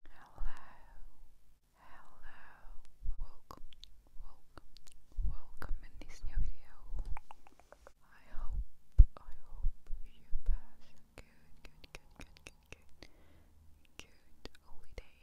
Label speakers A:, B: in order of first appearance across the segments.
A: Hello, hello, welcome, welcome, welcome in this new video. I hope, I hope you pass a good, good, good, good, good, good, good holiday.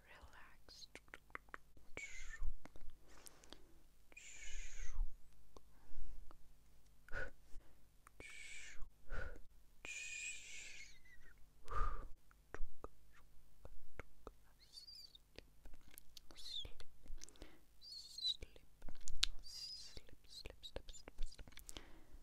A: relaxed. Sleep, sleep, sleep, sleep,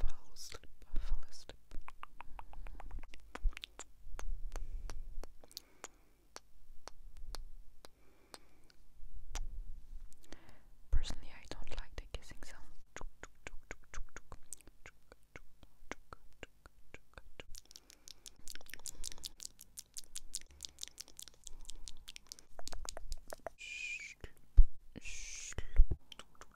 A: fall asleep, Personally, I don't like the kissing sound.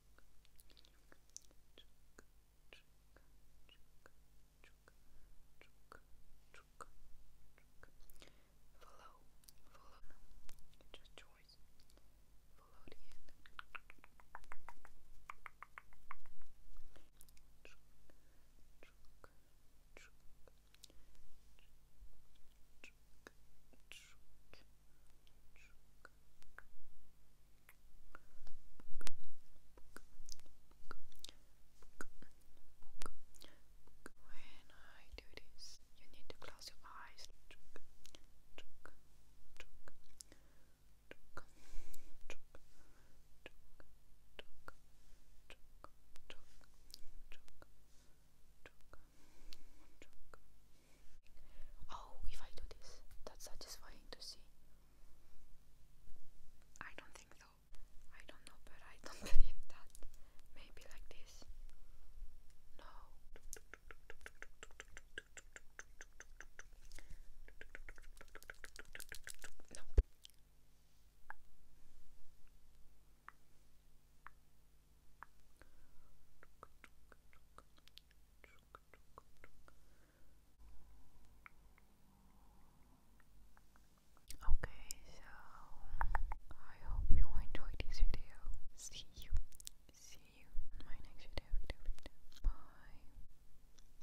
B: Follow, follow. It's your choice. Follow the end. When I do this, you need to close your eyes. Oh, if I do this, that's satisfying to see. I don't think so. I don't know, but I don't believe that. Maybe like this. No. No. Okay, so I hope you enjoyed this video. See you, see you in my next video. video, video. Bye.